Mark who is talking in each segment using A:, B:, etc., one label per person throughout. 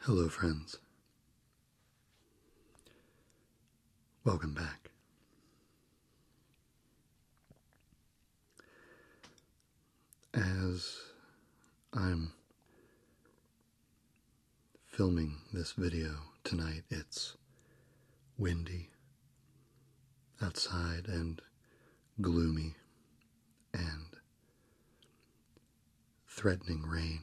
A: Hello, friends. Welcome back as I'm filming this video tonight, it's windy outside and gloomy and threatening rain.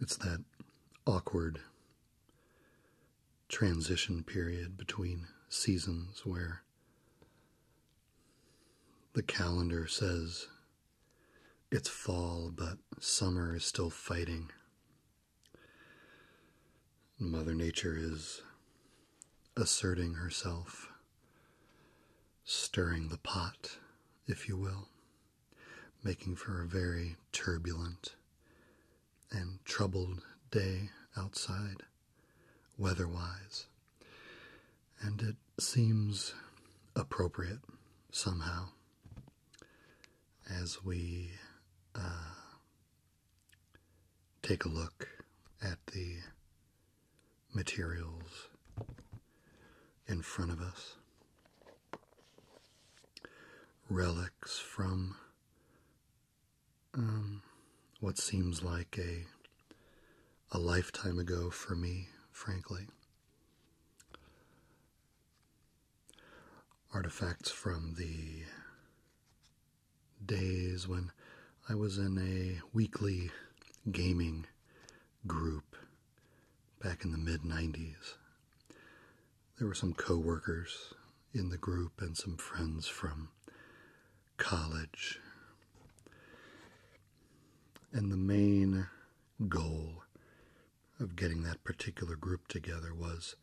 A: It's that awkward transition period between seasons where the calendar says it's fall, but summer is still fighting. Mother Nature is asserting herself, stirring the pot, if you will, making for a very turbulent and troubled day outside, weatherwise, and it seems appropriate somehow as we uh, take a look at the materials in front of us relics from um, what seems like a a lifetime ago for me, frankly. Artifacts from the days when I was in a weekly gaming group back in the mid 90s there were some coworkers in the group and some friends from college. And the main goal of getting that particular group together was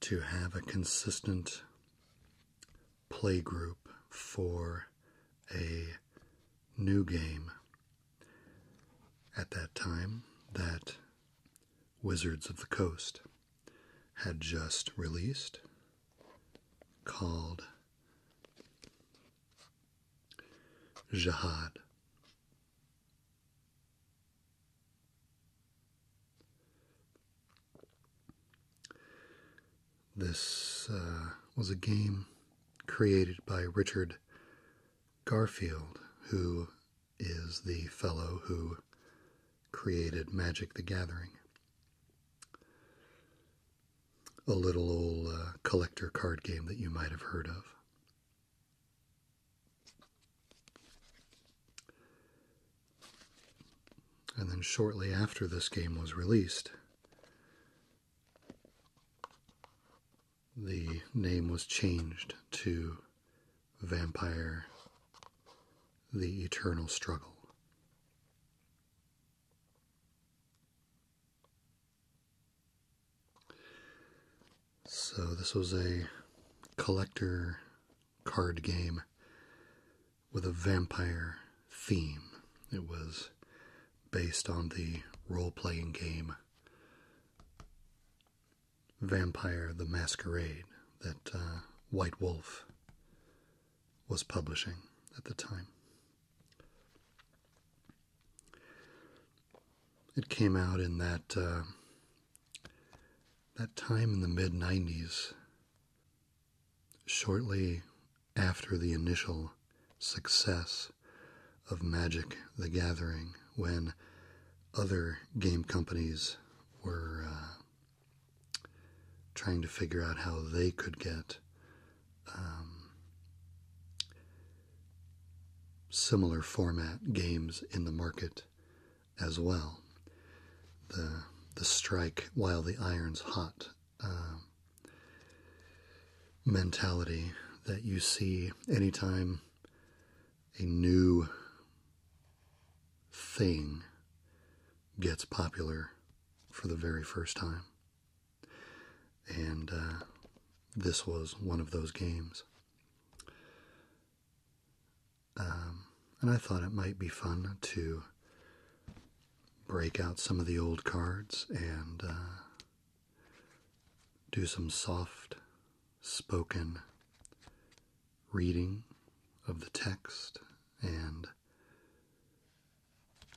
A: to have a consistent play group for a new game at that time that Wizards of the Coast had just released called Jihad. This uh, was a game created by Richard Garfield, who is the fellow who created Magic the Gathering. A little old uh, collector card game that you might have heard of. And then, shortly after this game was released, the name was changed to Vampire The Eternal Struggle. So, this was a collector card game with a vampire theme. It was based on the role playing game Vampire the Masquerade that uh, White Wolf was publishing at the time. It came out in that uh, that time in the mid '90s, shortly after the initial success of Magic: The Gathering, when other game companies were uh, trying to figure out how they could get um, similar format games in the market as well. The the strike while the iron's hot um, mentality that you see anytime a new thing gets popular for the very first time. And uh, this was one of those games. Um, and I thought it might be fun to break out some of the old cards and uh, do some soft spoken reading of the text and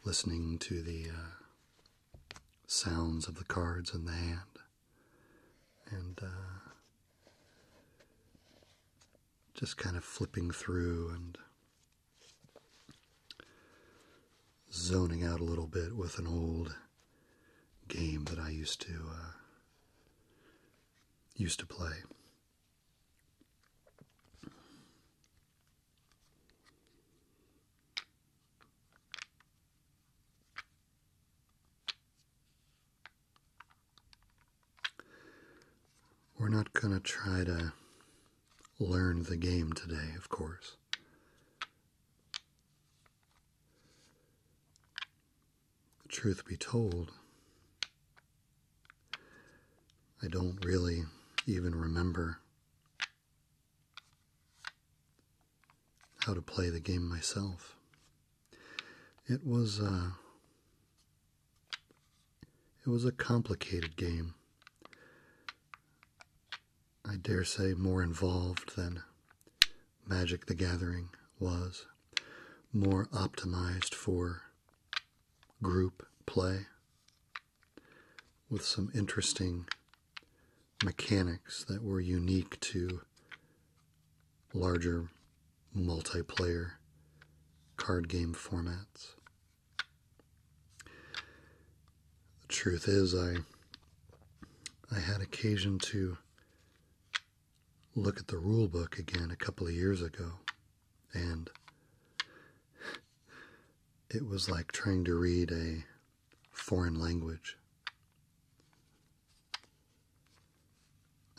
A: listening to the uh, sounds of the cards in the hand. And uh, just kind of flipping through and zoning out a little bit with an old game that I used to uh, used to play. We're not going to try to learn the game today, of course truth be told, I don't really even remember how to play the game myself. It was uh, it was a complicated game. I dare say more involved than Magic the Gathering was more optimized for group play with some interesting mechanics that were unique to larger multiplayer card game formats. The truth is I I had occasion to look at the rule book again a couple of years ago, and it was like trying to read a foreign language.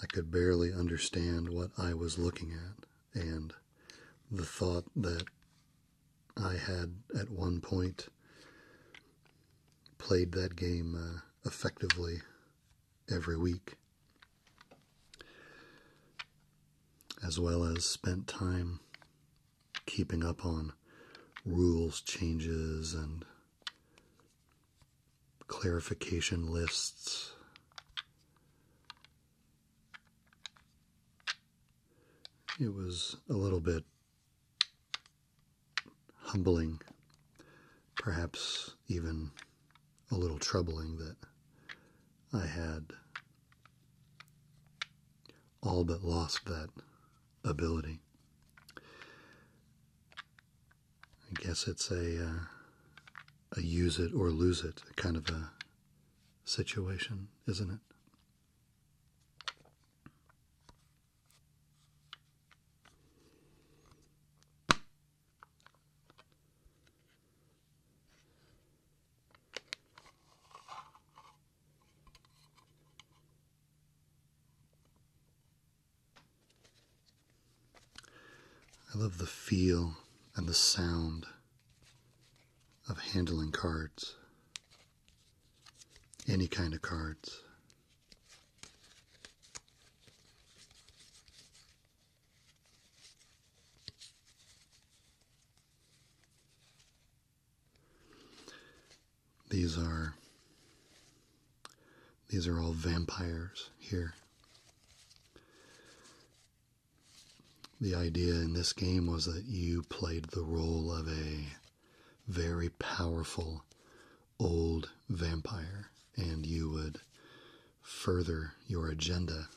A: I could barely understand what I was looking at, and the thought that I had at one point played that game uh, effectively every week, as well as spent time keeping up on rules changes and clarification lists. It was a little bit humbling, perhaps even a little troubling that I had all but lost that ability. I guess it's a uh, a use it or lose it kind of a situation, isn't it? I love the feel and the sound of handling cards, any kind of cards. These are these are all vampires here. The idea in this game was that you played the role of a very powerful old vampire and you would further your agenda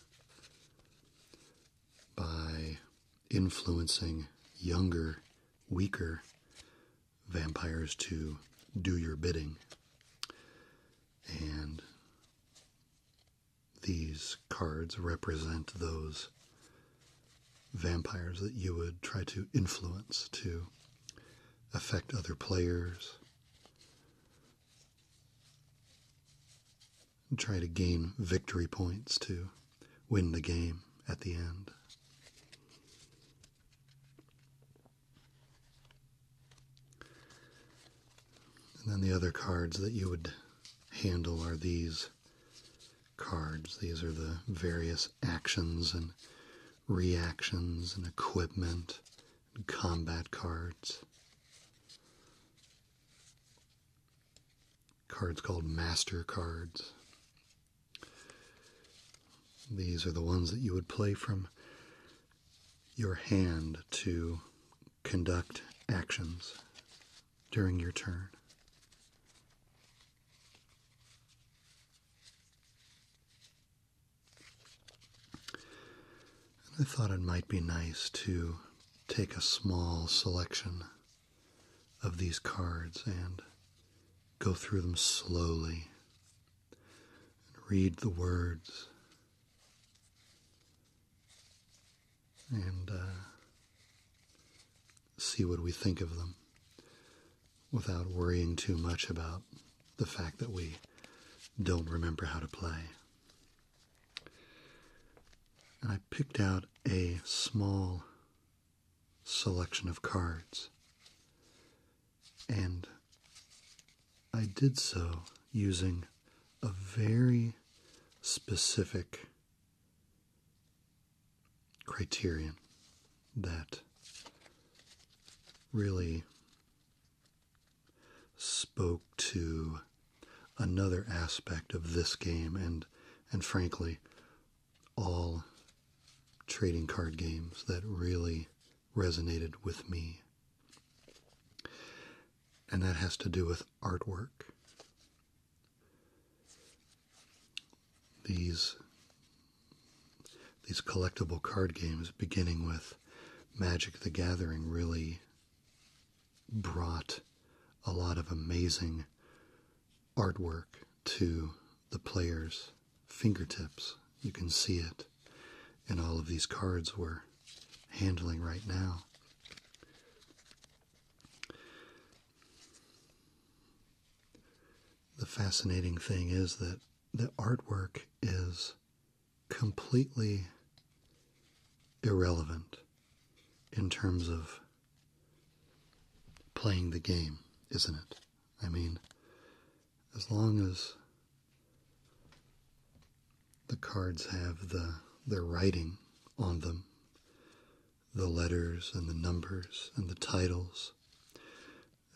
A: by influencing younger, weaker vampires to do your bidding. And these cards represent those vampires that you would try to influence to affect other players. And try to gain victory points to win the game at the end. And then the other cards that you would handle are these cards. These are the various actions and reactions and equipment and combat cards. Cards called master cards. These are the ones that you would play from your hand to conduct actions during your turn. And I thought it might be nice to take a small selection of these cards and go through them slowly and read the words and uh, see what we think of them without worrying too much about the fact that we don't remember how to play. I picked out a small selection of cards. And I did so using a very specific criterion that really spoke to another aspect of this game and and frankly all trading card games that really resonated with me and that has to do with artwork these these collectible card games, beginning with Magic the Gathering, really brought a lot of amazing artwork to the players' fingertips. You can see it in all of these cards we're handling right now. The fascinating thing is that the artwork is completely irrelevant in terms of playing the game, isn't it? I mean, as long as the cards have the their writing on them, the letters and the numbers and the titles,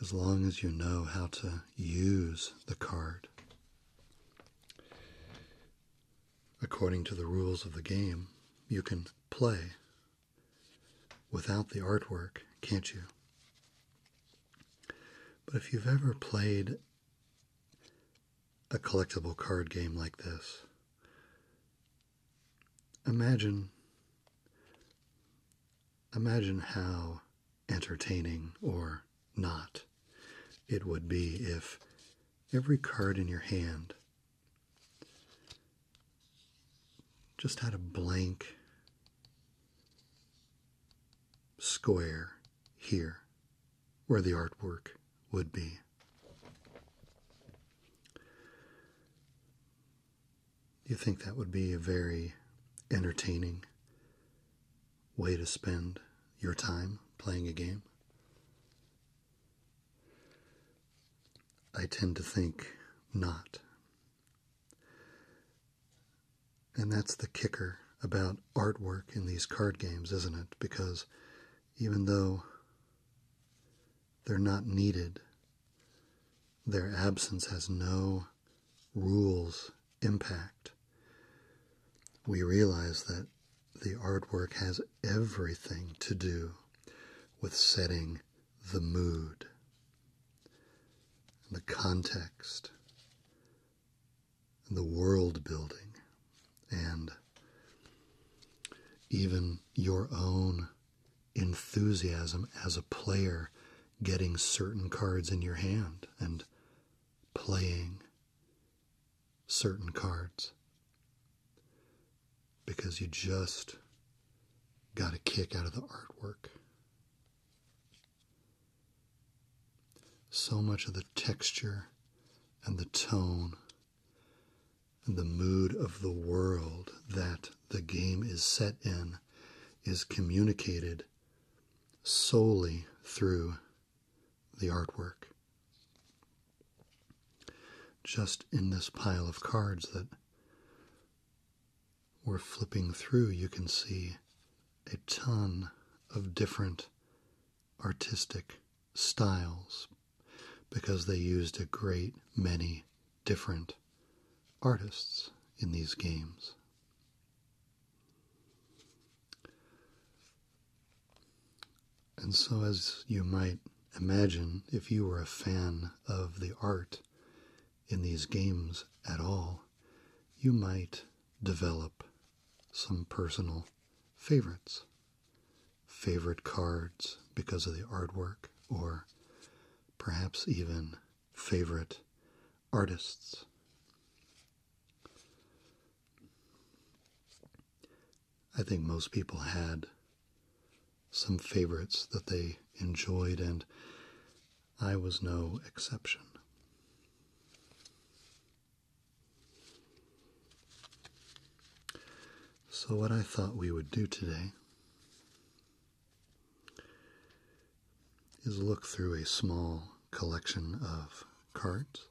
A: as long as you know how to use the card according to the rules of the game, you can play without the artwork, can't you? But if you've ever played a collectible card game like this, imagine imagine how entertaining or not it would be if every card in your hand just had a blank square here where the artwork would be you think that would be a very entertaining way to spend your time playing a game? I tend to think not. And that's the kicker about artwork in these card games, isn't it? Because even though they're not needed, their absence has no rules impact. We realize that the artwork has everything to do with setting the mood, the context, the world building, and even your own enthusiasm as a player getting certain cards in your hand and playing certain cards because you just got a kick out of the artwork. So much of the texture and the tone and the mood of the world that the game is set in is communicated solely through the artwork. Just in this pile of cards that we're flipping through, you can see a ton of different artistic styles because they used a great many different artists in these games. And so, as you might imagine, if you were a fan of the art in these games at all, you might develop some personal favorites, favorite cards because of the artwork, or perhaps even favorite artists. I think most people had some favorites that they enjoyed, and I was no exception. So, what I thought we would do today is look through a small collection of cards.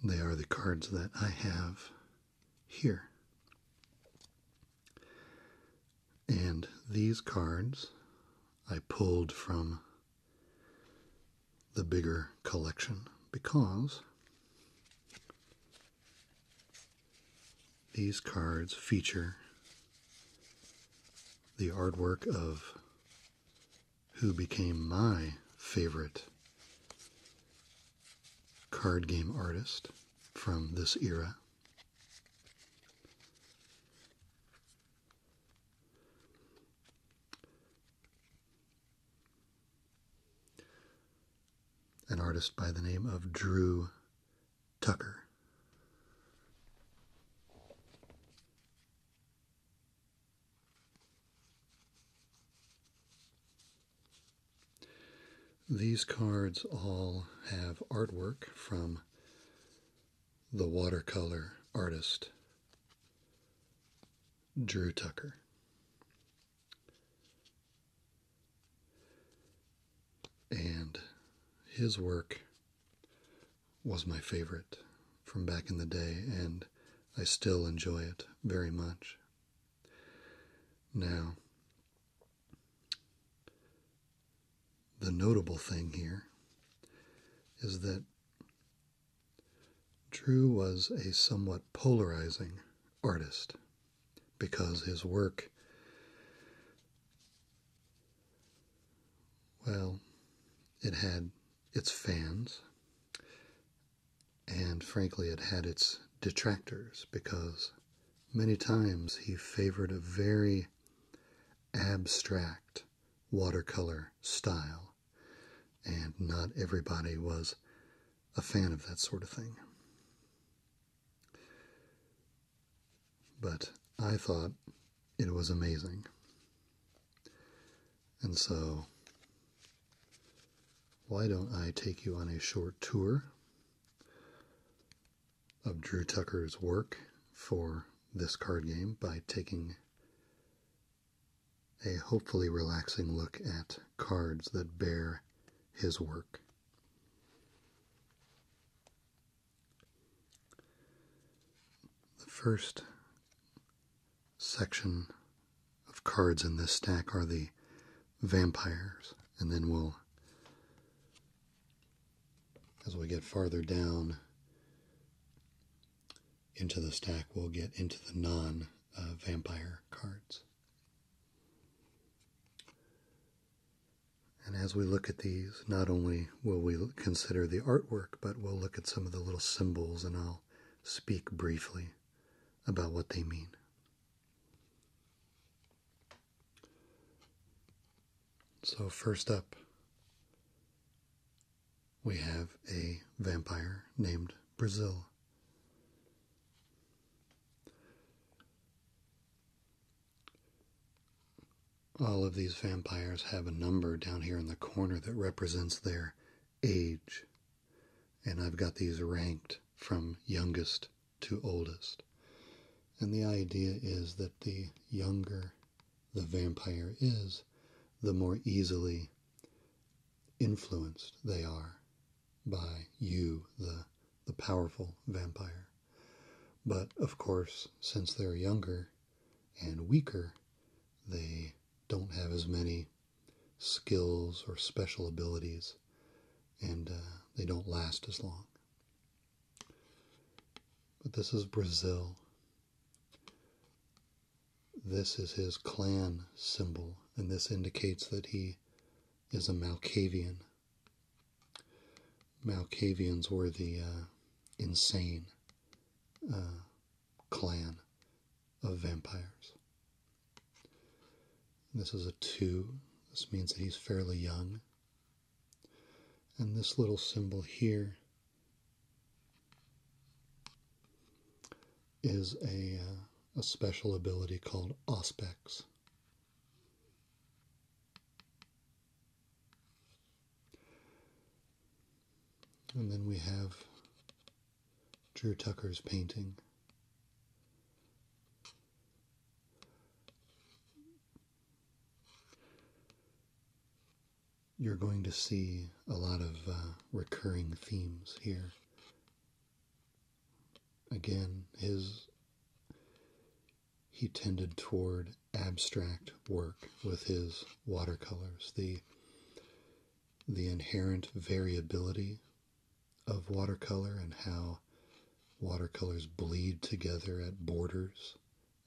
A: They are the cards that I have here. And these cards I pulled from the bigger collection because these cards feature the artwork of who became my favorite card game artist from this era. An artist by the name of Drew Tucker. These cards all have artwork from the watercolor artist Drew Tucker. And his work was my favorite from back in the day, and I still enjoy it very much. Now, the notable thing here is that Drew was a somewhat polarizing artist because his work, well, it had its fans, and frankly, it had its detractors because many times he favored a very abstract watercolor style. And not everybody was a fan of that sort of thing. But I thought it was amazing. And so, why don't I take you on a short tour of Drew Tucker's work for this card game by taking a hopefully relaxing look at cards that bear his work. The first section of cards in this stack are the vampires, and then we'll as we get farther down into the stack, we'll get into the non vampire cards. And as we look at these, not only will we consider the artwork, but we'll look at some of the little symbols and I'll speak briefly about what they mean. So, first up, we have a vampire named Brazil. All of these vampires have a number down here in the corner that represents their age. And I've got these ranked from youngest to oldest. And the idea is that the younger the vampire is, the more easily influenced they are by you, the, the powerful vampire. But of course, since they're younger and weaker, they don't have as many skills or special abilities, and uh, they don't last as long. But this is Brazil, this is his clan symbol, and this indicates that he is a Malkavian. Malkavians were the uh, insane uh, clan of vampires. This is a two. This means that he's fairly young and this little symbol here is a, uh, a special ability called Auspex. And then we have Drew Tucker's painting you're going to see a lot of uh, recurring themes here. Again, his he tended toward abstract work with his watercolors. The the inherent variability of watercolor and how watercolors bleed together at borders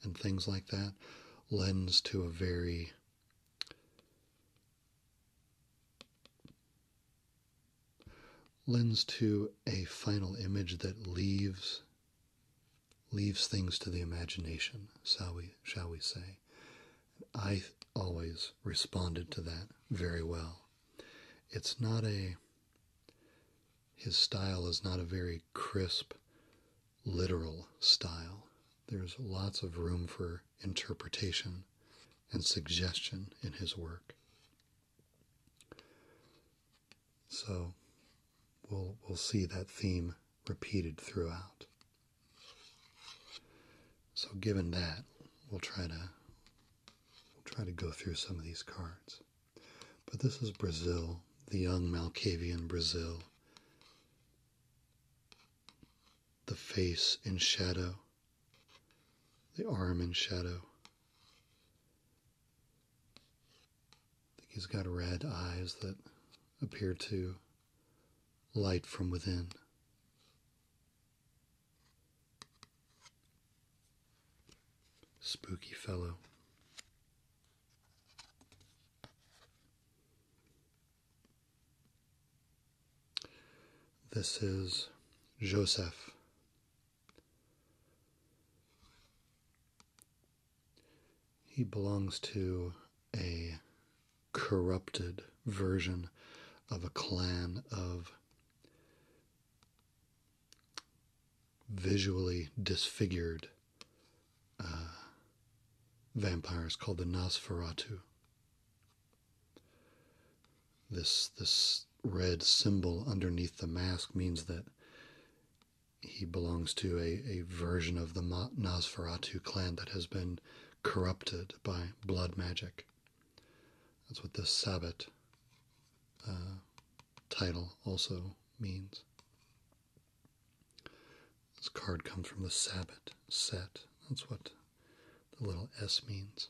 A: and things like that lends to a very lends to a final image that leaves leaves things to the imagination shall we shall we say i always responded to that very well it's not a his style is not a very crisp, literal style. There's lots of room for interpretation and suggestion in his work. So we'll, we'll see that theme repeated throughout. So given that, we'll try to try to go through some of these cards. But this is Brazil, the young Malcavian Brazil, the face in shadow, the arm in shadow. I think he's got red eyes that appear to light from within. Spooky fellow. This is Joseph. He belongs to a corrupted version of a clan of visually disfigured uh, vampires called the Nosferatu. This this red symbol underneath the mask means that he belongs to a, a version of the Nosferatu clan that has been corrupted by blood magic. That's what this Sabbat uh, title also means. This card comes from the Sabbat set. That's what the little S means.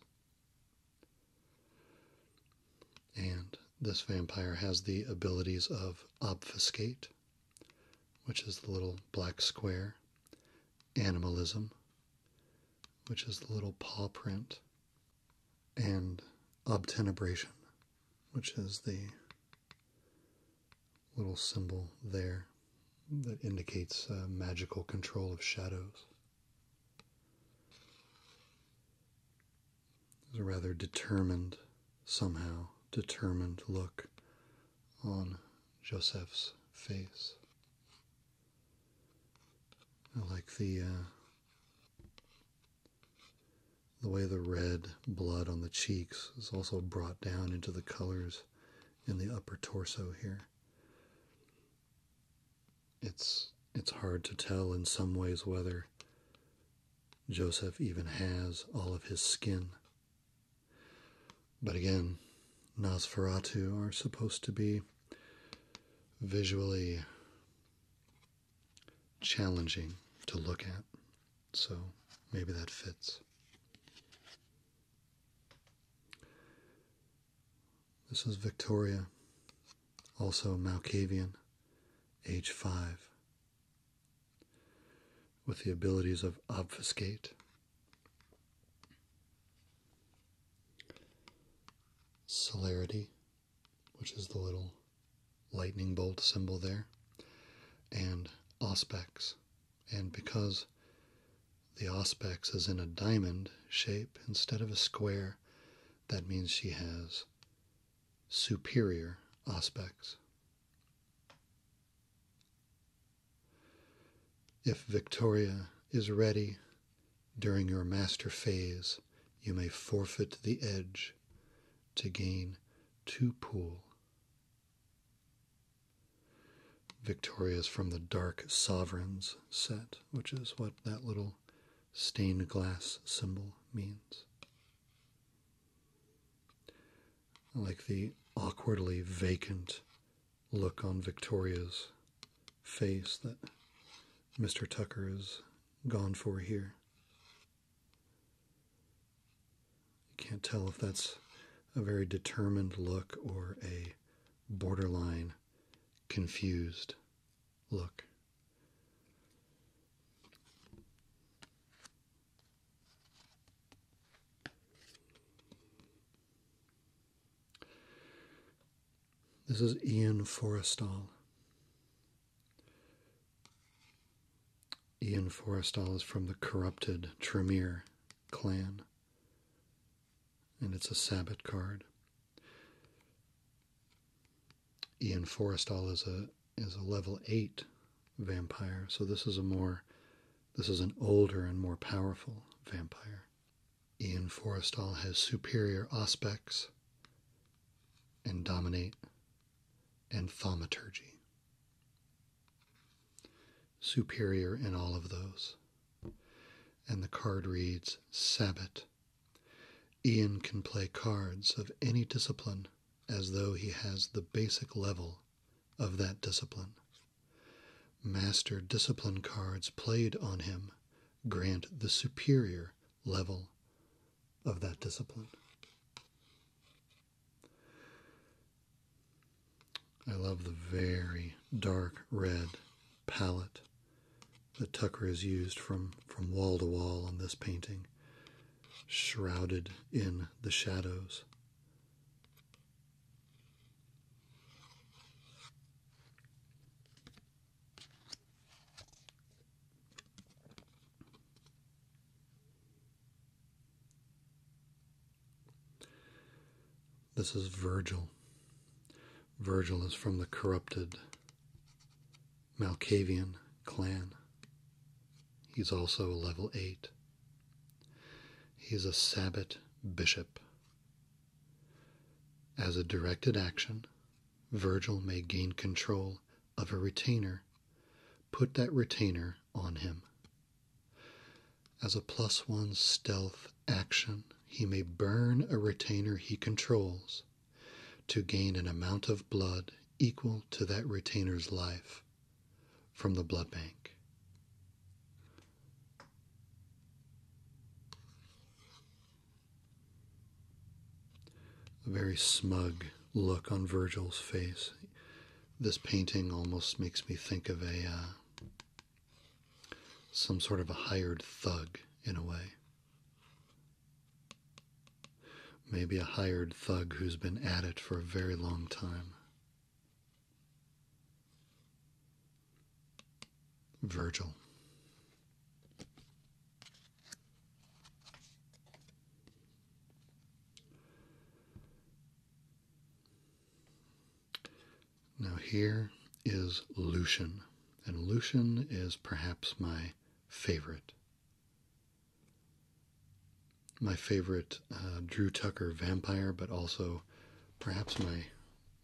A: And this vampire has the abilities of obfuscate, which is the little black square, animalism, which is the little paw print, and obtenebration, which is the little symbol there that indicates uh, magical control of shadows. There's a rather determined, somehow determined look on Joseph's face. I like the uh, the way the red blood on the cheeks is also brought down into the colors in the upper torso here. It's it's hard to tell in some ways whether Joseph even has all of his skin. But again, Nosferatu are supposed to be visually challenging to look at. So maybe that fits. This is Victoria, also Malkavian, age 5, with the abilities of obfuscate. celerity, which is the little lightning bolt symbol there, and auspex. And because the auspex is in a diamond shape instead of a square, that means she has superior aspects. If Victoria is ready during your master phase, you may forfeit the edge to gain two pool Victorias from the Dark Sovereigns set, which is what that little stained glass symbol means. like the awkwardly vacant look on Victoria's face that Mr. Tucker is gone for here. You can't tell if that's a very determined look or a borderline confused look. This is Ian Forrestal. Ian Forrestal is from the corrupted Tremere clan, and it's a Sabbat card. Ian Forrestal is a is a level eight vampire, so this is a more this is an older and more powerful vampire. Ian Forrestal has superior aspects and dominate and thaumaturgy. Superior in all of those. And the card reads Sabbat. Ian can play cards of any discipline as though he has the basic level of that discipline. Master discipline cards played on him grant the superior level of that discipline. I love the very dark red palette that Tucker is used from, from wall to wall on this painting, shrouded in the shadows. This is Virgil. Virgil is from the corrupted Malkavian clan. He's also a level 8. He's a Sabbat bishop. As a directed action, Virgil may gain control of a retainer, put that retainer on him. As a plus one stealth action, he may burn a retainer he controls to gain an amount of blood equal to that retainer's life from the blood bank. A very smug look on Virgil's face this painting almost makes me think of a uh, some sort of a hired thug in a way. Maybe a hired thug who's been at it for a very long time. Virgil. Now, here is Lucian, and Lucian is perhaps my favorite. My favorite uh, Drew Tucker vampire, but also perhaps my,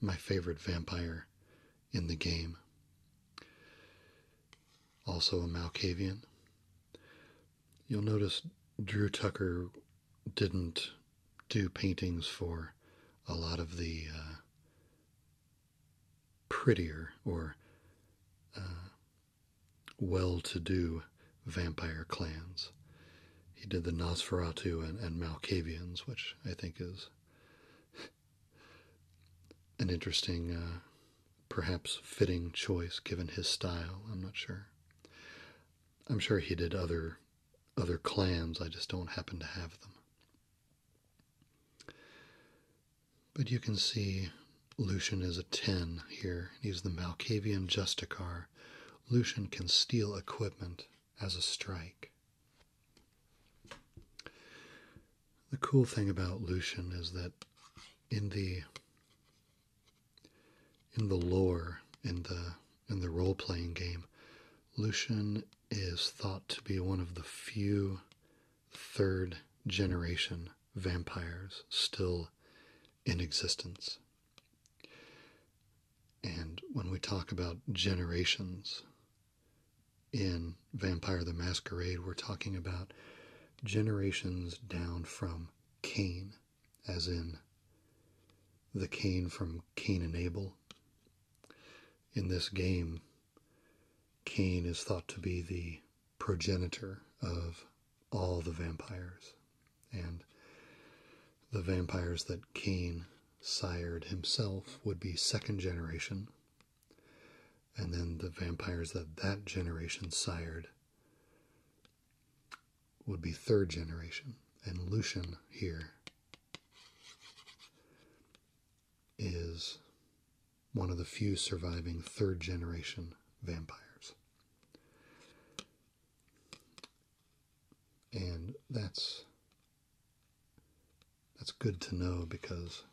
A: my favorite vampire in the game. Also a Malkavian. You'll notice Drew Tucker didn't do paintings for a lot of the uh, prettier or uh, well to do vampire clans. He did the Nosferatu and, Malkavians, which I think is an interesting uh, perhaps fitting choice given his style. I'm not sure. I'm sure he did other other clans. I just don't happen to have them. But you can see Lucian is a 10 here. He's the Malkavian Justicar. Lucian can steal equipment as a strike. The cool thing about Lucian is that in the in the lore in the in the role playing game, Lucian is thought to be one of the few third generation vampires still in existence. And when we talk about generations in Vampire the Masquerade, we're talking about generations down from Cain, as in the Cain from Cain and Abel. In this game, Cain is thought to be the progenitor of all the vampires, and the vampires that Cain sired himself would be second generation, and then the vampires that that generation sired would be third generation. And Lucian here is one of the few surviving third generation vampires. And that's that's good to know because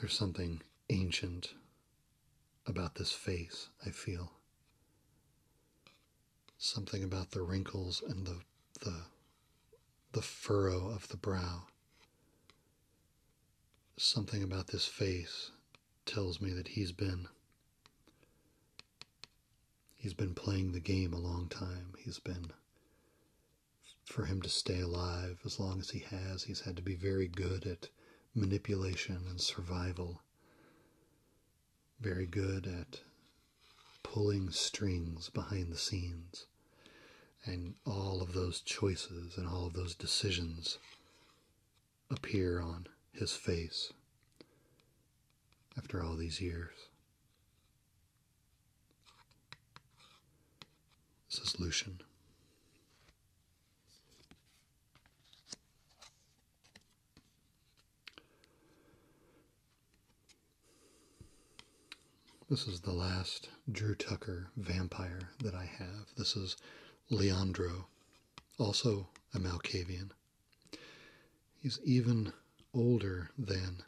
A: there's something ancient about this face, I feel. Something about the wrinkles and the, the, the furrow of the brow. Something about this face tells me that he's been he's been playing the game a long time. He's been for him to stay alive as long as he has, he's had to be very good at manipulation and survival, very good at pulling strings behind the scenes. And all of those choices and all of those decisions appear on his face after all these years. This is Lucian. This is the last Drew Tucker vampire that I have. This is Leandro, also a Malkavian. He's even older than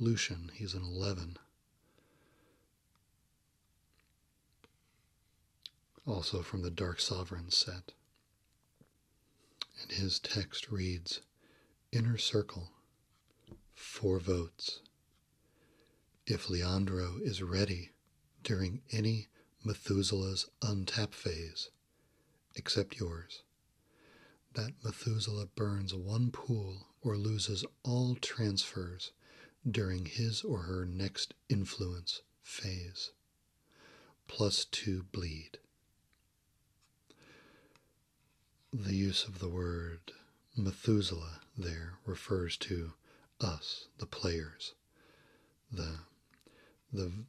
A: Lucian. He's an 11 also from the Dark Sovereign set. And his text reads Inner Circle, four votes. If Leandro is ready during any Methuselah's untap phase, except yours, that Methuselah burns one pool or loses all transfers during his or her next influence phase. Plus two bleed. The use of the word Methuselah there refers to us, the players, the the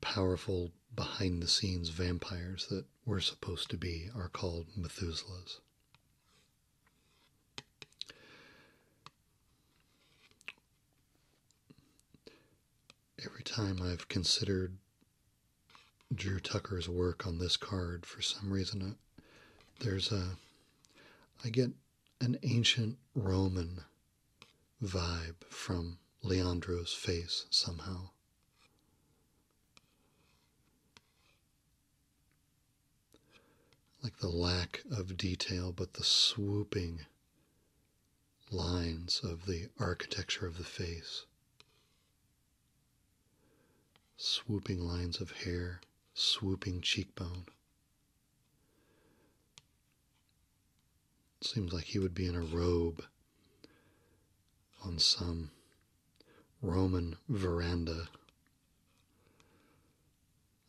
A: powerful behind the scenes vampires that we're supposed to be are called Methuselahs. Every time I've considered Drew Tucker's work on this card, for some reason, uh, there's a. I get an ancient Roman vibe from Leandro's face somehow like the lack of detail, but the swooping lines of the architecture of the face, swooping lines of hair, swooping cheekbone. Seems like he would be in a robe on some Roman veranda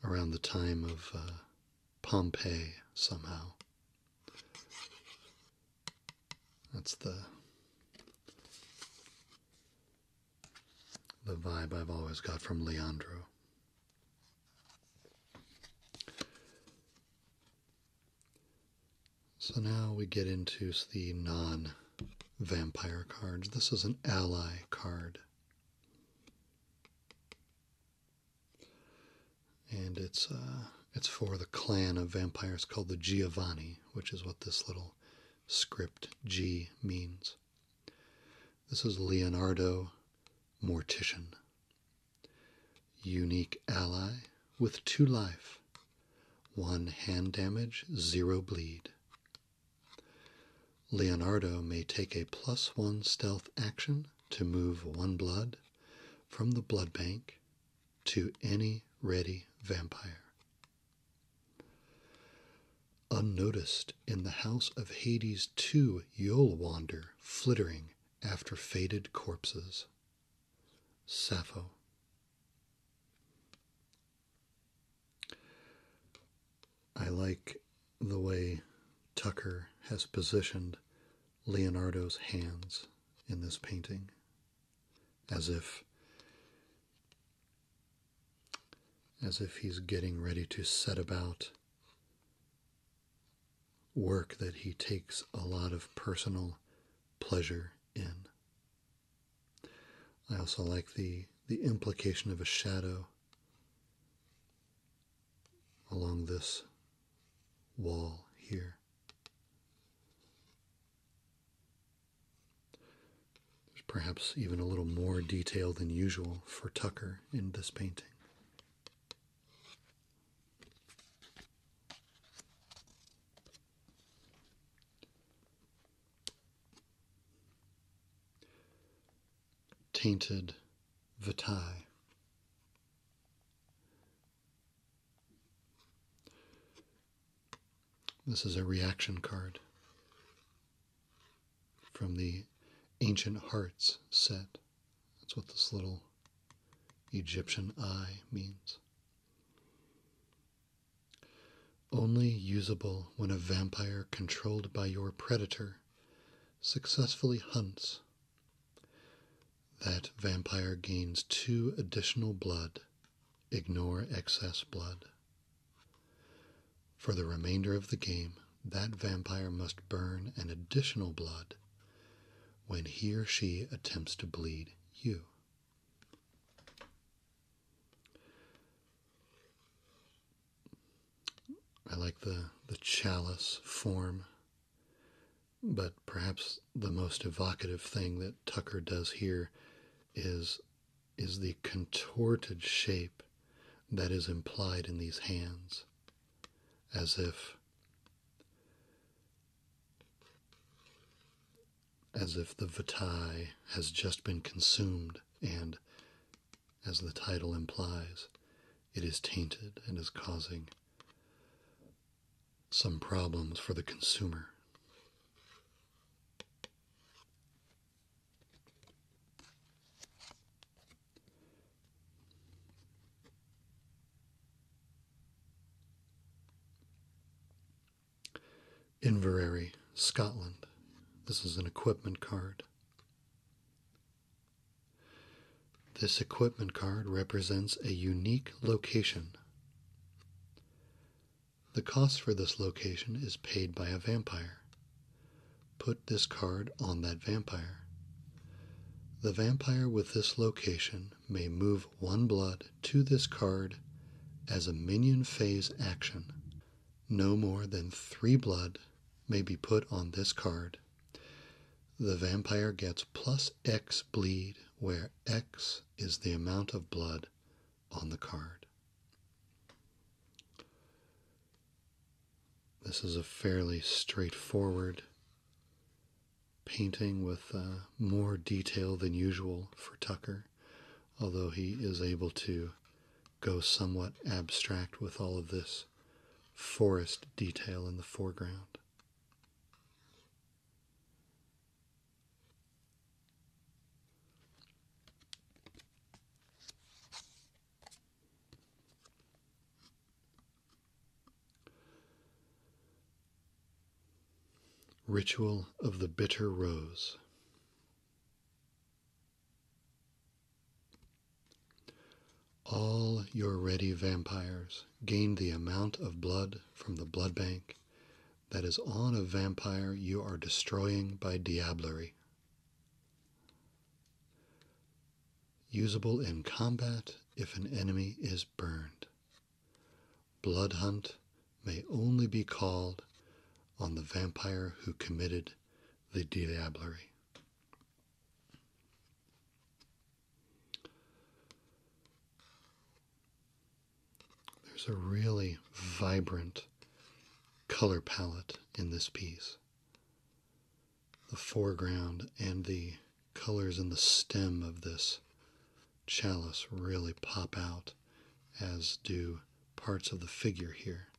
A: around the time of uh, Pompeii, somehow. That's the the vibe I've always got from Leandro. So now we get into the non vampire cards. This is an ally card. And it's uh, it's for the clan of vampires called the Giovanni, which is what this little script G means. This is Leonardo Mortician. Unique ally with two life, one hand damage, zero bleed. Leonardo may take a plus one stealth action to move one blood from the blood bank to any ready vampire. Unnoticed in the House of Hades 2, you'll wander flittering after faded corpses. Sappho. I like the way Tucker has positioned Leonardo's hands in this painting, as if as if he's getting ready to set about work that he takes a lot of personal pleasure in. I also like the, the implication of a shadow along this wall here. There's perhaps even a little more detail than usual for Tucker in this painting. Tainted Vitae. This is a reaction card from the Ancient Hearts set. That's what this little Egyptian eye means. Only usable when a vampire controlled by your predator successfully hunts. That vampire gains two additional blood. Ignore excess blood. For the remainder of the game, that vampire must burn an additional blood when he or she attempts to bleed you. I like the, the chalice form, but perhaps the most evocative thing that Tucker does here is, is the contorted shape that is implied in these hands, as if as if the vitae has just been consumed and as the title implies, it is tainted and is causing some problems for the consumer. Inverary, Scotland. This is an equipment card. This equipment card represents a unique location. The cost for this location is paid by a vampire. Put this card on that vampire. The vampire with this location may move one blood to this card as a minion phase action. No more than three blood may be put on this card. The vampire gets plus X bleed, where X is the amount of blood on the card. This is a fairly straightforward painting with uh, more detail than usual for Tucker although he is able to go somewhat abstract with all of this forest detail in the foreground. Ritual of the Bitter Rose. All your ready vampires gain the amount of blood from the blood bank that is on a vampire you are destroying by diablerie. Usable in combat if an enemy is burned. Blood Hunt may only be called on the vampire who committed the Diablerie. There's a really vibrant color palette in this piece. The foreground and the colors in the stem of this chalice really pop out, as do parts of the figure here.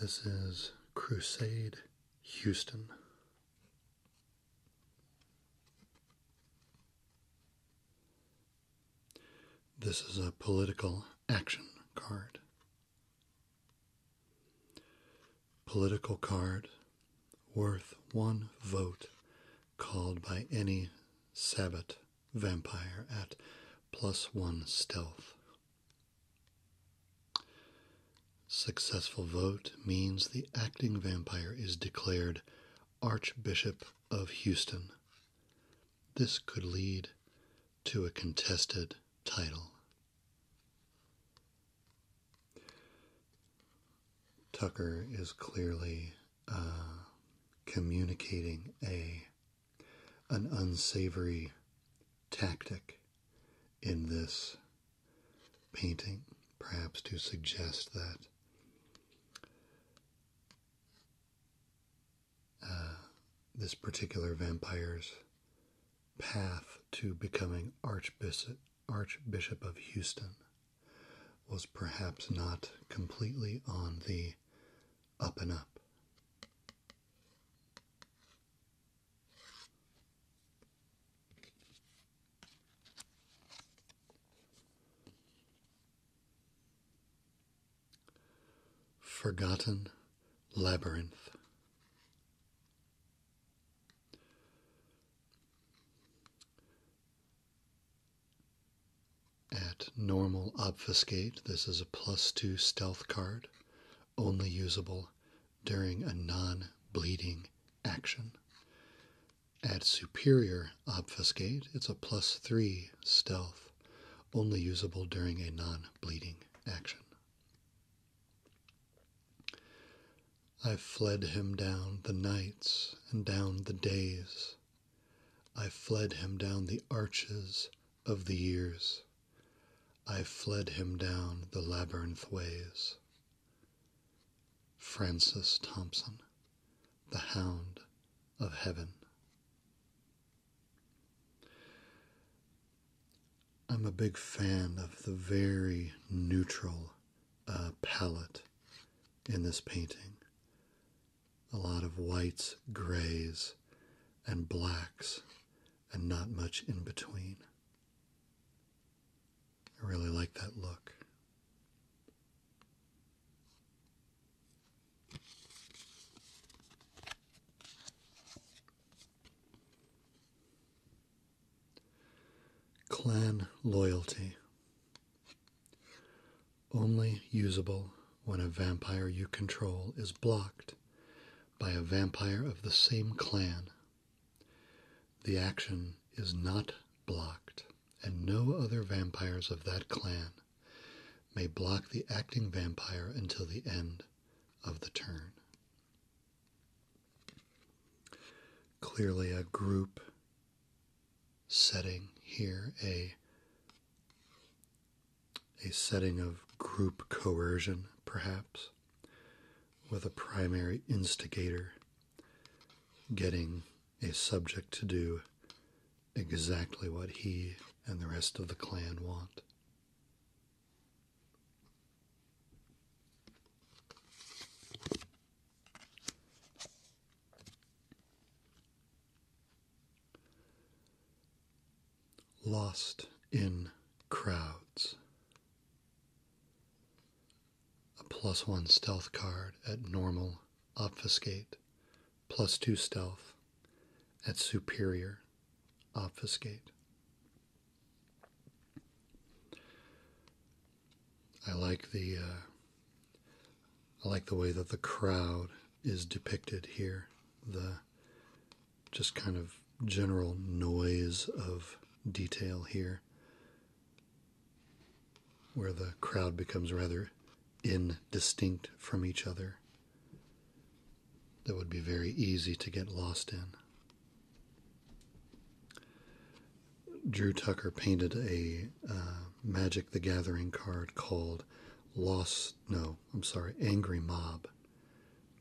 A: This is Crusade Houston. This is a political action card. Political card worth one vote called by any Sabbat vampire at plus one stealth. Successful vote means the acting vampire is declared Archbishop of Houston. This could lead to a contested title. Tucker is clearly uh, communicating a an unsavory tactic in this painting, perhaps to suggest that uh, this particular vampire's path to becoming Archbishop of Houston was perhaps not completely on the up and up. Forgotten Labyrinth. At normal obfuscate, this is a plus two stealth card only usable during a non bleeding action. At superior obfuscate, it's a plus three stealth, only usable during a non bleeding action. I fled him down the nights and down the days. I fled him down the arches of the years. I fled him down the labyrinth ways. Francis Thompson, the Hound of Heaven. I'm a big fan of the very neutral uh, palette in this painting. A lot of whites, grays, and blacks, and not much in between. I really like that look. Clan loyalty. Only usable when a vampire you control is blocked by a vampire of the same clan the action is not blocked, and no other vampires of that clan may block the acting vampire until the end of the turn. Clearly, a group setting here, a, a setting of group coercion, perhaps with a primary instigator getting a subject to do exactly what he and the rest of the clan want. Lost in crowds. A plus one stealth card at normal, obfuscate. Plus two stealth at superior, obfuscate. I like the uh, I like the way that the crowd is depicted here. The just kind of general noise of detail here, where the crowd becomes rather indistinct from each other, that would be very easy to get lost in. Drew Tucker painted a uh, Magic the Gathering card called Lost, no, I'm sorry, Angry Mob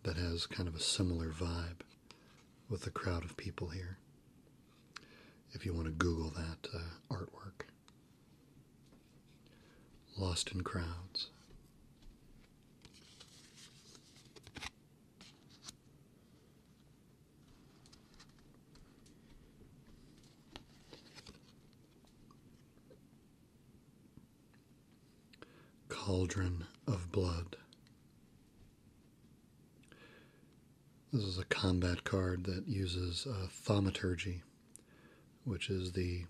A: that has kind of a similar vibe with a crowd of people here. If you want to Google that uh, artwork, Lost in Crowds. Cauldron of Blood. This is a combat card that uses uh, Thaumaturgy, which is the,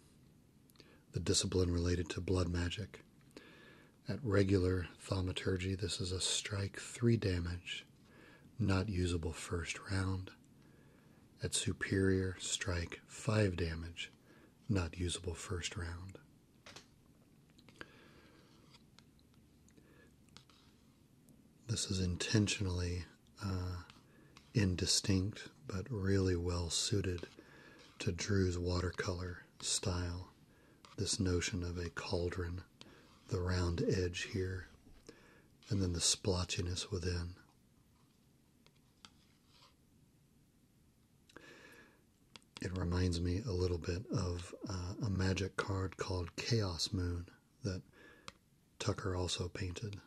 A: the discipline related to blood magic. At regular Thaumaturgy, this is a strike 3 damage, not usable first round. At superior, strike 5 damage, not usable first round. This is intentionally uh, indistinct but really well suited to Drew's watercolor style. This notion of a cauldron, the round edge here, and then the splotchiness within. It reminds me a little bit of uh, a magic card called Chaos Moon that Tucker also painted,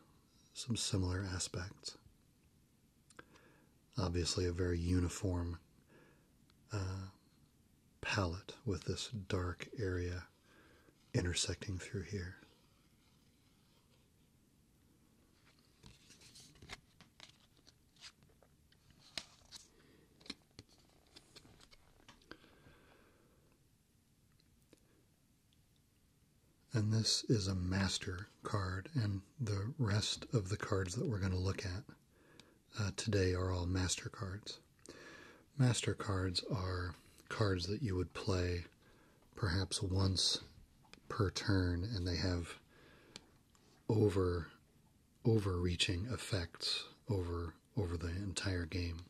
A: some similar aspects. Obviously, a very uniform uh, palette with this dark area intersecting through here. And this is a master card, and the rest of the cards that we're going to look at uh, today are all master cards. Master cards are cards that you would play perhaps once per turn, and they have over overreaching effects over over the entire game,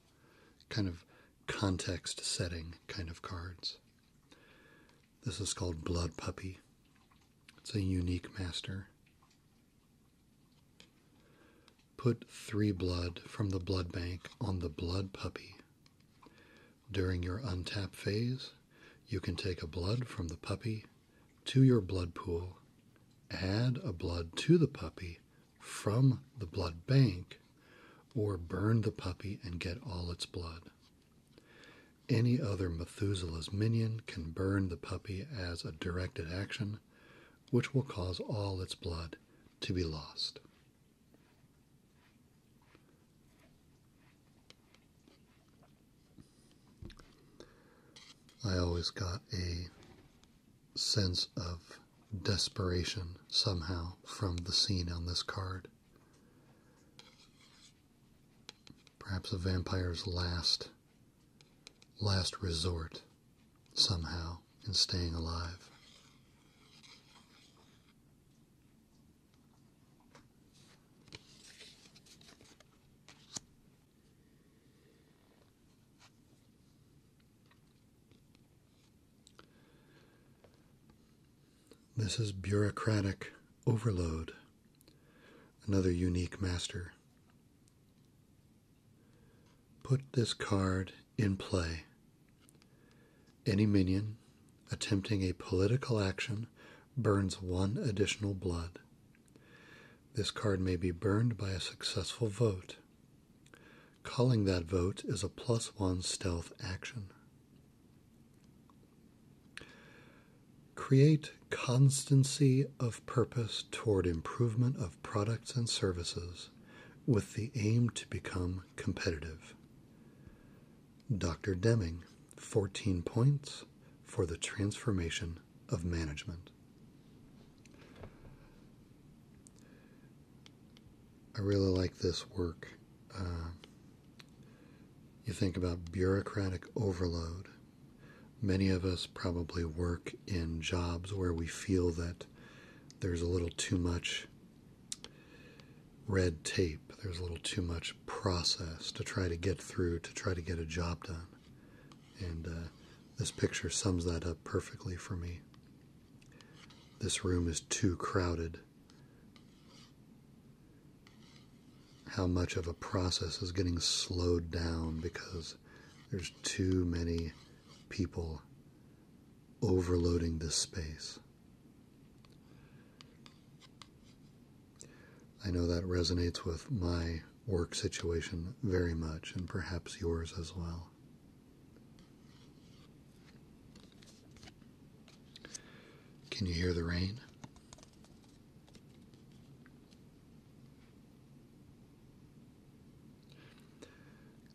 A: kind of context setting kind of cards. This is called Blood Puppy. It's a unique master. Put three blood from the blood bank on the blood puppy. During your untap phase, you can take a blood from the puppy to your blood pool, add a blood to the puppy from the blood bank, or burn the puppy and get all its blood. Any other Methuselah's minion can burn the puppy as a directed action, which will cause all its blood to be lost. I always got a sense of desperation somehow from the scene on this card. Perhaps a vampire's last last resort somehow in staying alive. This is bureaucratic overload, another unique master. Put this card in play. Any minion attempting a political action burns one additional blood. This card may be burned by a successful vote. Calling that vote is a plus one stealth action. Create constancy of purpose toward improvement of products and services with the aim to become competitive. Dr. Deming, 14 points for the transformation of management. I really like this work. Uh, you think about bureaucratic overload. Many of us probably work in jobs where we feel that there's a little too much red tape, there's a little too much process to try to get through, to try to get a job done and uh, this picture sums that up perfectly for me. This room is too crowded. How much of a process is getting slowed down because there's too many people overloading this space. I know that resonates with my work situation very much, and perhaps yours as well. Can you hear the rain?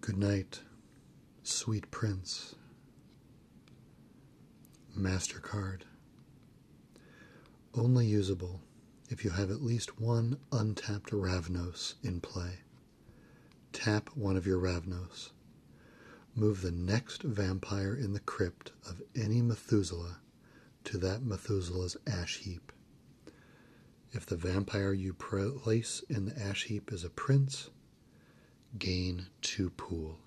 A: Good night, sweet prince. MasterCard only usable if you have at least one untapped Ravnos in play. Tap one of your Ravnos. Move the next vampire in the crypt of any Methuselah to that Methuselah's ash heap. If the vampire you place in the ash heap is a prince, gain two pool.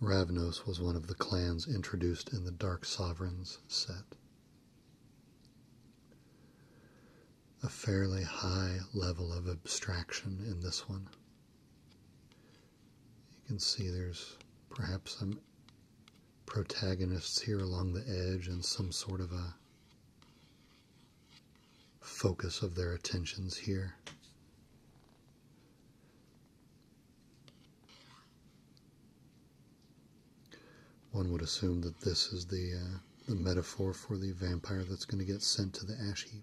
A: Ravnos was one of the clans introduced in the Dark Sovereigns set. A fairly high level of abstraction in this one. You can see there's perhaps some protagonists here along the edge and some sort of a focus of their attentions here. One would assume that this is the uh, the metaphor for the vampire that's going to get sent to the ash heap.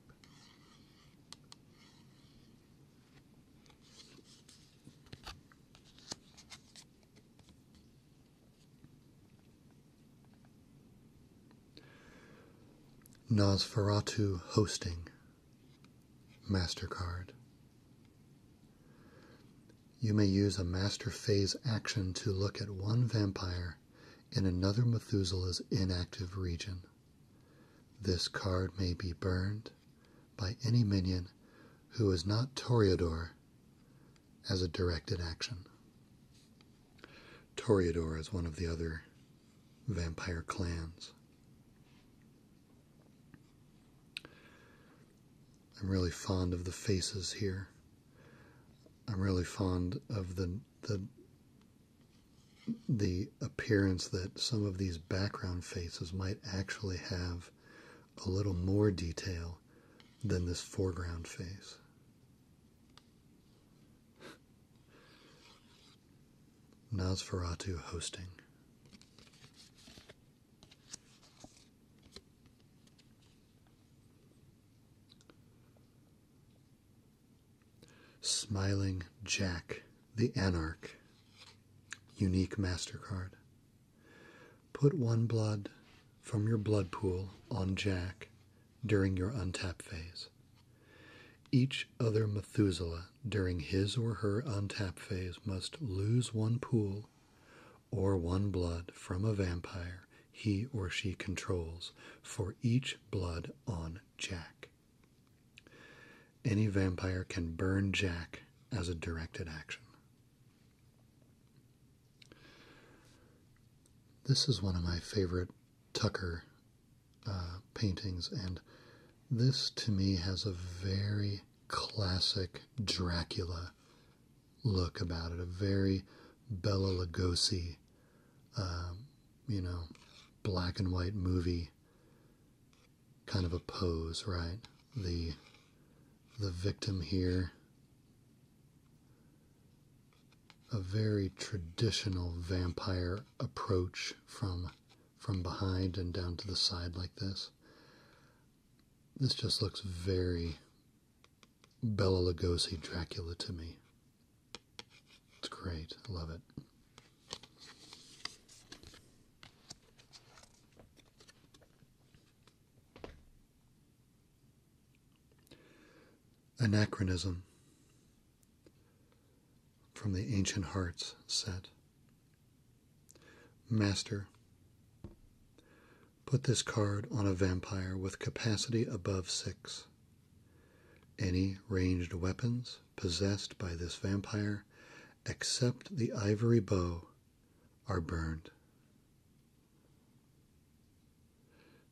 A: Nosferatu hosting. MasterCard. You may use a master phase action to look at one vampire in another Methuselah's inactive region. This card may be burned by any minion who is not Toreador as a directed action. Toreador is one of the other vampire clans I'm really fond of the faces here. I'm really fond of the the the appearance that some of these background faces might actually have a little more detail than this foreground face. Nosferatu hosting. Smiling Jack the Anarch. Unique MasterCard. Put one blood from your blood pool on Jack during your untap phase. Each other Methuselah during his or her untap phase must lose one pool or one blood from a vampire he or she controls for each blood on Jack. Any vampire can burn Jack as a directed action. This is one of my favorite Tucker uh, paintings, and this to me has a very classic Dracula look about it, a very Bela Lugosi, um, you know, black and white movie kind of a pose, right? The the victim here a very traditional vampire approach from from behind and down to the side like this. This just looks very Bella Lugosi Dracula to me. It's great. I love it. Anachronism. From the Ancient Hearts set. Master, put this card on a vampire with capacity above six. Any ranged weapons possessed by this vampire, except the ivory bow, are burned.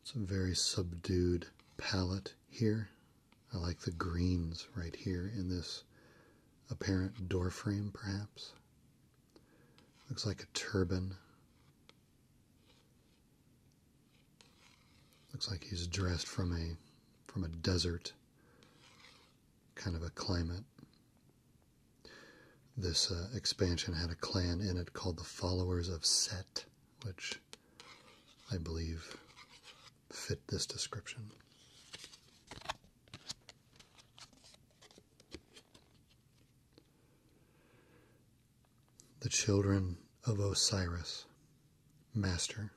A: It's a very subdued palette here. I like the greens right here in this apparent door frame, perhaps. Looks like a turban. Looks like he's dressed from a from a desert kind of a climate. This uh, expansion had a clan in it called the Followers of Set, which I believe fit this description. The children of Osiris, Master,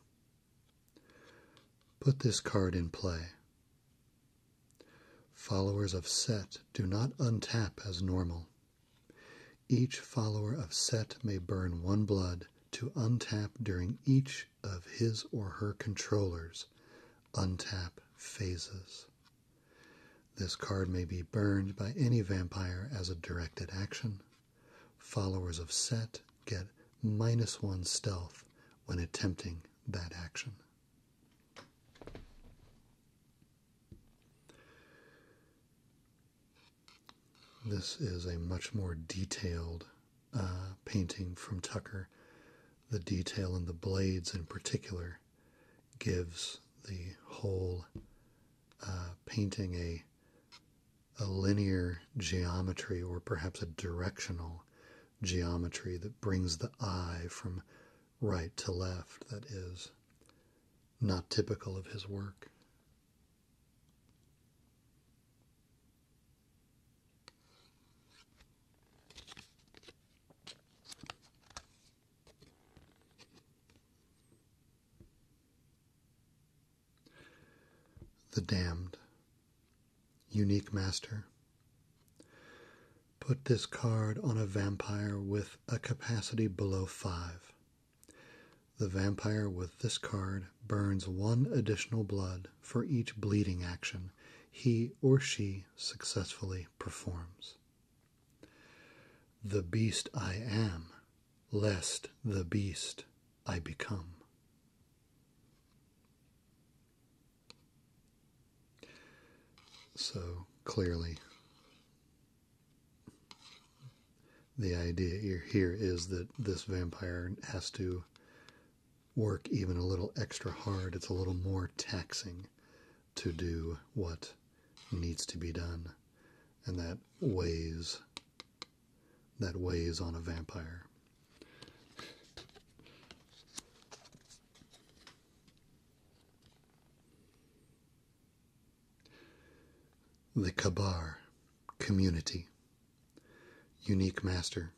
A: put this card in play. Followers of Set do not untap as normal. Each follower of Set may burn one blood to untap during each of his or her controller's untap phases. This card may be burned by any vampire as a directed action. Followers of Set get minus one stealth when attempting that action. This is a much more detailed uh, painting from Tucker. The detail in the blades, in particular, gives the whole uh, painting a a linear geometry or perhaps a directional geometry that brings the eye from right to left that is not typical of his work. The Damned, Unique Master. Put this card on a vampire with a capacity below 5. The vampire with this card burns one additional blood for each bleeding action he or she successfully performs. The beast I am, lest the beast I become. So clearly, the idea here is that this vampire has to work even a little extra hard. It's a little more taxing to do what needs to be done. And that weighs that weighs on a vampire. The Kabar community. Unique Master.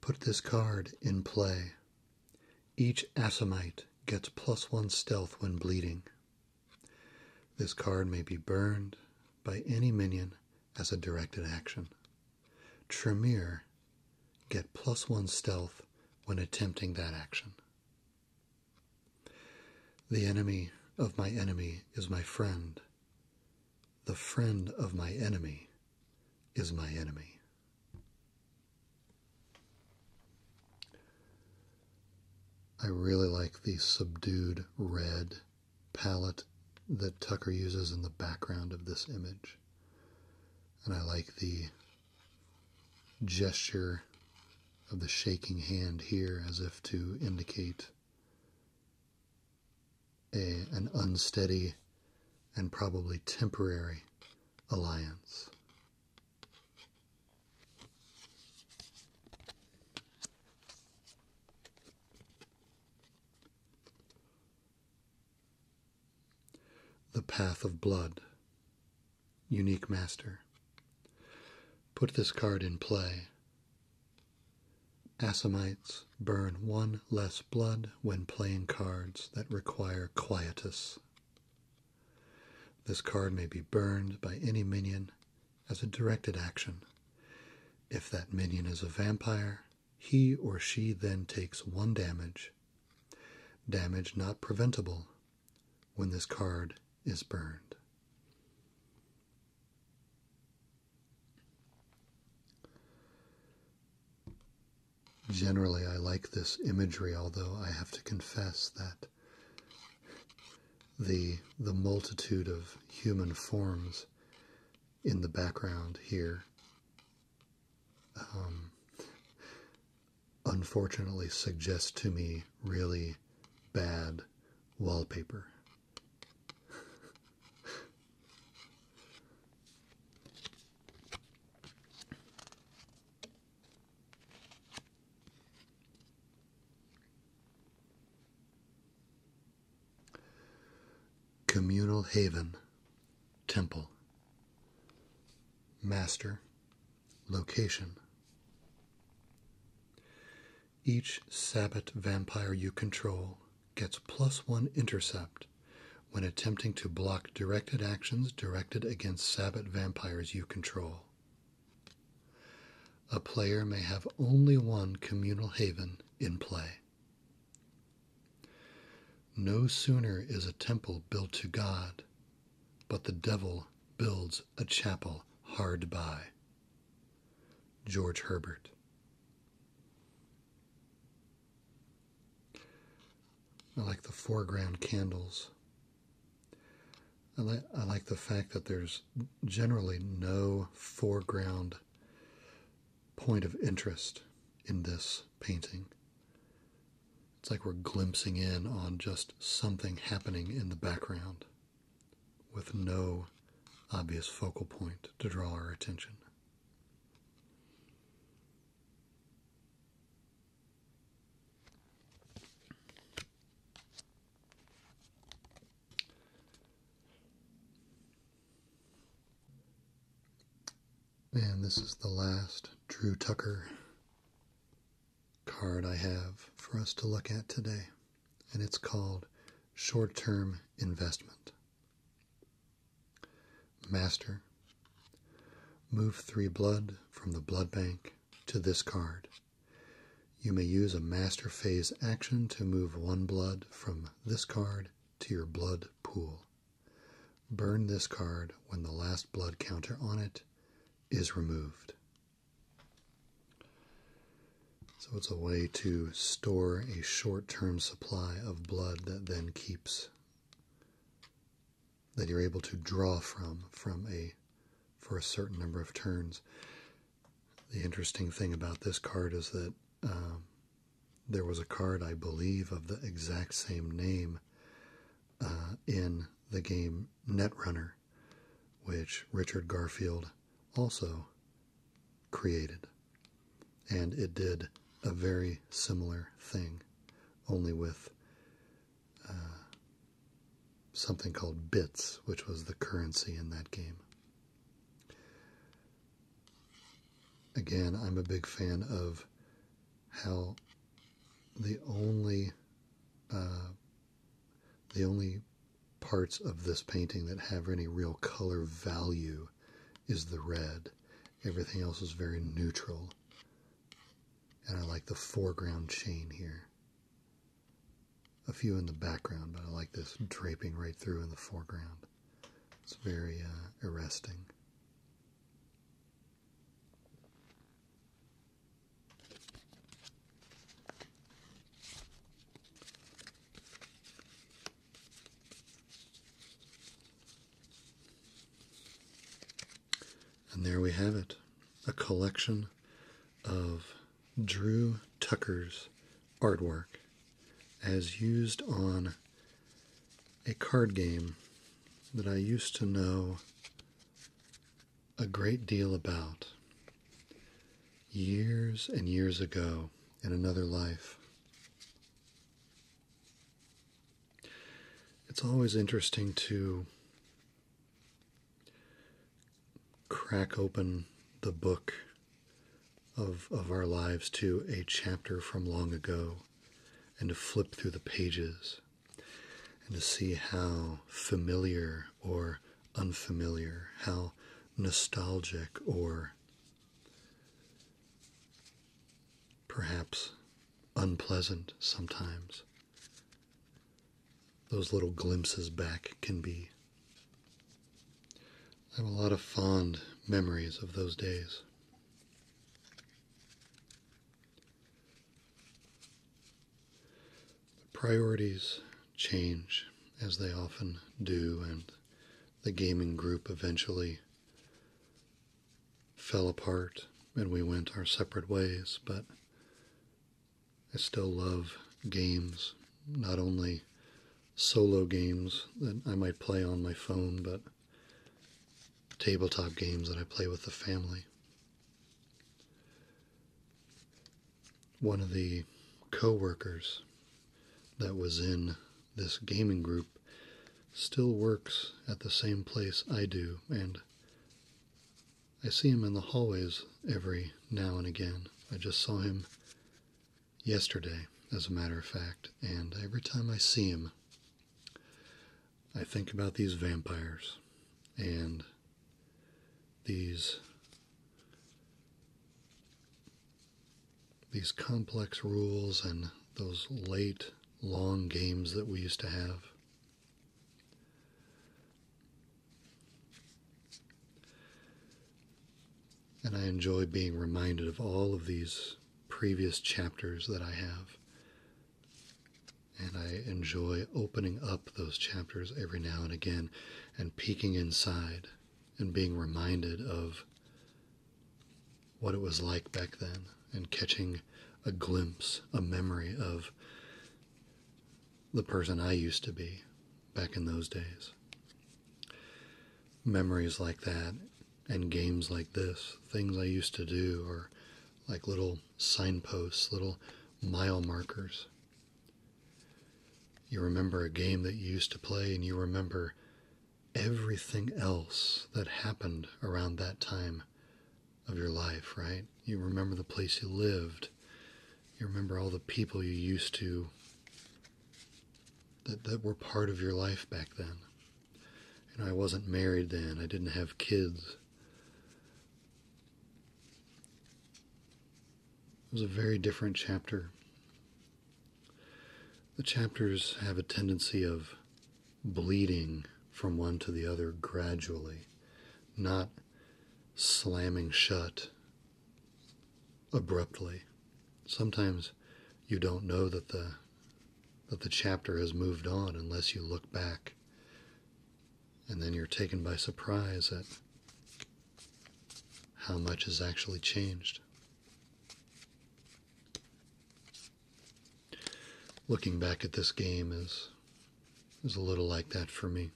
A: Put this card in play. Each Asimite gets plus one stealth when bleeding. This card may be burned by any minion as a directed action. Tremere get plus one stealth when attempting that action. The enemy of my enemy is my friend the friend of my enemy is my enemy. I really like the subdued red palette that Tucker uses in the background of this image. And I like the gesture of the shaking hand here as if to indicate a, an unsteady and probably temporary alliance. The Path of Blood, Unique Master. Put this card in play Assamites burn one less blood when playing cards that require quietus. This card may be burned by any minion as a directed action. If that minion is a vampire, he or she then takes one damage, damage not preventable, when this card is burned. Generally, I like this imagery, although I have to confess that the the multitude of human forms in the background here um, unfortunately suggests to me really bad wallpaper Communal Haven Temple Master Location each Sabbat vampire you control gets plus one intercept when attempting to block directed actions directed against Sabbat vampires you control. A player may have only one communal haven in play. No sooner is a temple built to God, but the devil builds a chapel hard by. George Herbert. I like the foreground candles. I, li I like the fact that there's generally no foreground point of interest in this painting. It's like we're glimpsing in on just something happening in the background with no obvious focal point to draw our attention. And this is the last Drew Tucker card I have for us to look at today and it's called short term investment. Master, move three blood from the blood bank to this card. You may use a master phase action to move one blood from this card to your blood pool. Burn this card when the last blood counter on it is removed. So it's a way to store a short term supply of blood that then keeps, that you're able to draw from, from a for a certain number of turns. The interesting thing about this card is that um, there was a card, I believe, of the exact same name uh, in the game Netrunner, which Richard Garfield also created. And it did a very similar thing, only with uh, something called bits, which was the currency in that game. Again, I'm a big fan of how the only uh, the only parts of this painting that have any real color value is the red. Everything else is very neutral. And I like the foreground chain here. A few in the background, but I like this draping right through in the foreground. It's very uh, arresting. And there we have it a collection of Drew Tucker's artwork as used on a card game that I used to know a great deal about years and years ago in another life. It's always interesting to crack open the book of, of our lives to a chapter from long ago and to flip through the pages and to see how familiar or unfamiliar, how nostalgic or perhaps unpleasant sometimes. Those little glimpses back can be. I have a lot of fond memories of those days. priorities change as they often do, and the gaming group eventually fell apart and we went our separate ways, but I still love games, not only solo games that I might play on my phone, but tabletop games that I play with the family one of the co-workers that was in this gaming group still works at the same place I do and I see him in the hallways every now and again. I just saw him yesterday, as a matter of fact, and every time I see him, I think about these vampires and these these complex rules and those late, long games that we used to have. And I enjoy being reminded of all of these previous chapters that I have. And I enjoy opening up those chapters every now and again and peeking inside and being reminded of what it was like back then and catching a glimpse, a memory of the person I used to be back in those days. Memories like that and games like this, things I used to do, are like little signposts, little mile markers you remember a game that you used to play, and you remember everything else that happened around that time of your life, right? You remember the place you lived. You remember all the people you used to that, that were part of your life back then. You know, I wasn't married then, I didn't have kids. It was a very different chapter the chapters have a tendency of bleeding from one to the other gradually, not slamming shut abruptly. Sometimes you don't know that the that the chapter has moved on unless you look back. And then you're taken by surprise at how much has actually changed. Looking back at this game is, is a little like that for me.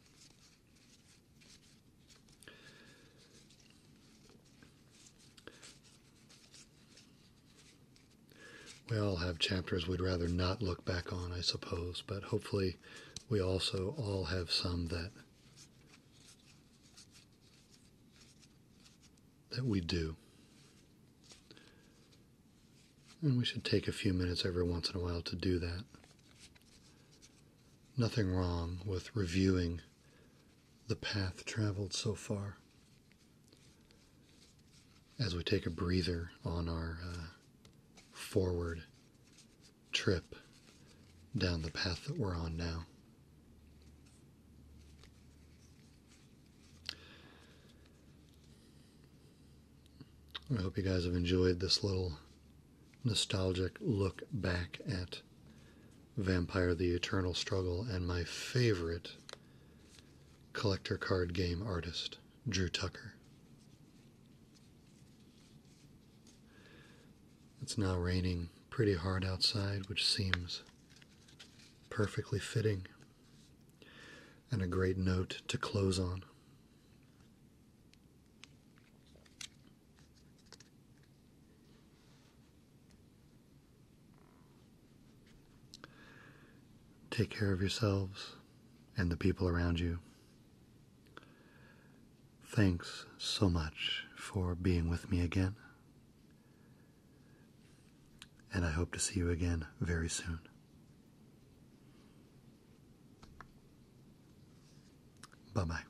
A: We all have chapters we'd rather not look back on, I suppose, but hopefully we also all have some that that we do. And we should take a few minutes every once in a while to do that. Nothing wrong with reviewing the path traveled so far as we take a breather on our uh, forward trip down the path that we're on now. I hope you guys have enjoyed this little nostalgic look back at Vampire the Eternal Struggle and my favorite collector card game artist, Drew Tucker. It's now raining pretty hard outside, which seems perfectly fitting and a great note to close on. Take care of yourselves and the people around you. Thanks so much for being with me again. And I hope to see you again very soon. Bye bye.